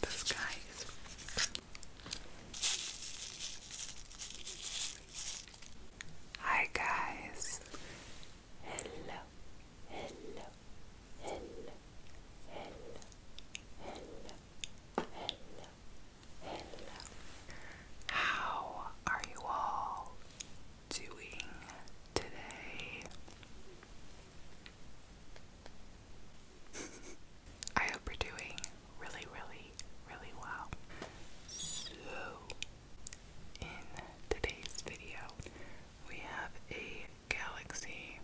This guy Hi guys. Hello. Hello. Hello. Hello. Hello. Hello. How are you all doing today? I hope you're doing really, really, really well. So, in today's video, we have a galaxy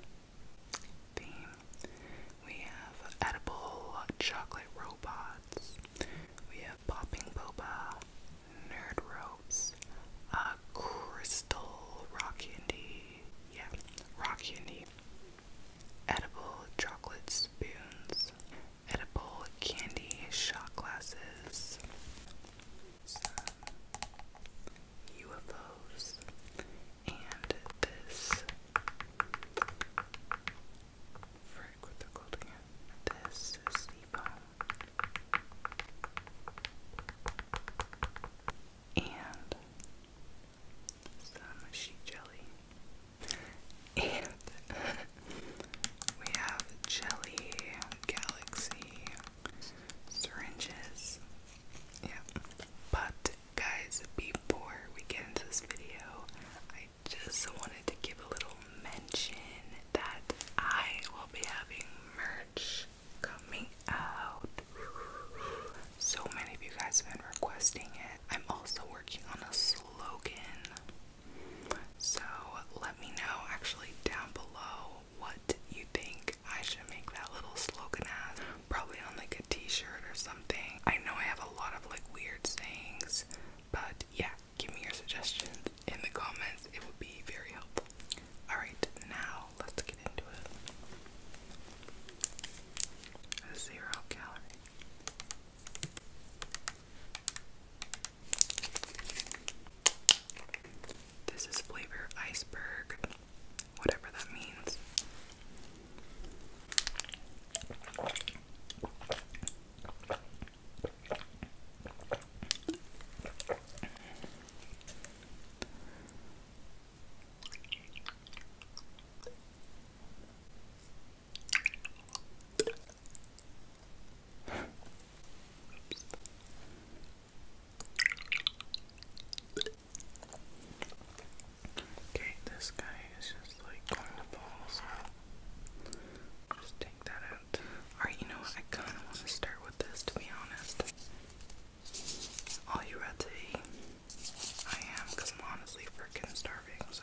theme. We have edible chocolate robot. We have Popping Boba, Nerd Ropes, a Crystal Rock Candy, yeah, Rock Candy, Edible Chocolate Spoons, Edible Candy Shot Glasses, some UFOs, and this Frank with the golden hand. This is the bone. And some sheet jelly. And we have jelly, galaxy, syringes. Yeah. But guys, before we get into this video, I I just wanted to give a little mention that I will be having merch coming out. So many of you guys have been requesting it. I'm also working on a slogan. So let me know actually down below what you think I should make that little slogan as. Probably on like a t-shirt or something. I know I have a lot of like weird sayings, but yeah, give me your suggestions in the comments, it would be very helpful. Alright, now let's get into it. zero calorie. This is flavor iceberg, whatever that means. Okay, this guy is just Alright, you know what? I kind of want to start with this, to be honest. All you ready? I am, I'm honestly freaking starving, so.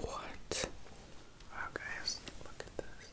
What? Wow, oh, guys, look at this.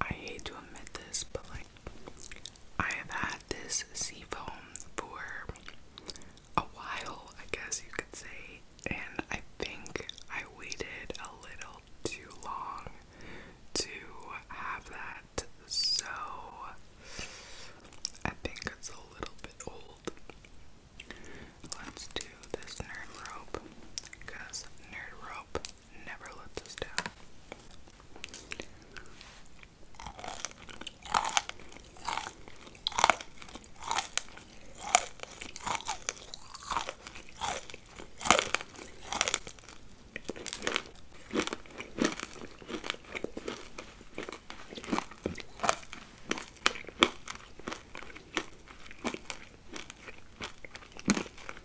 I hate to admit this, but like, I have had this seafoam for a while, I guess you could say, and I think I waited a little too long to have that, so I think it's a little bit old. Let's do this nerd rope because nerd rope never lets us down.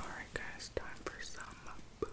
Alright, guys, time for some boo Okay.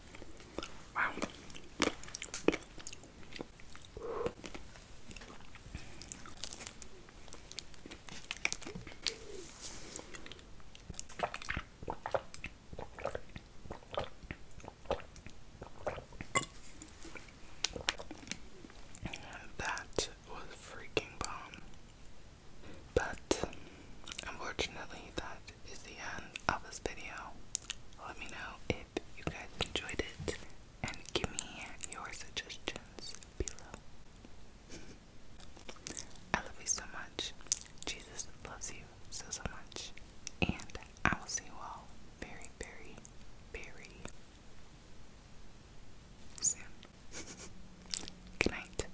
Wow. That was freaking bomb. But Unfortunately, that is the end of this video. Let me know if you guys enjoyed it and give me your suggestions below. I love you so much. Jesus loves you so, so much. And I will see you all very, very, very soon. Good night.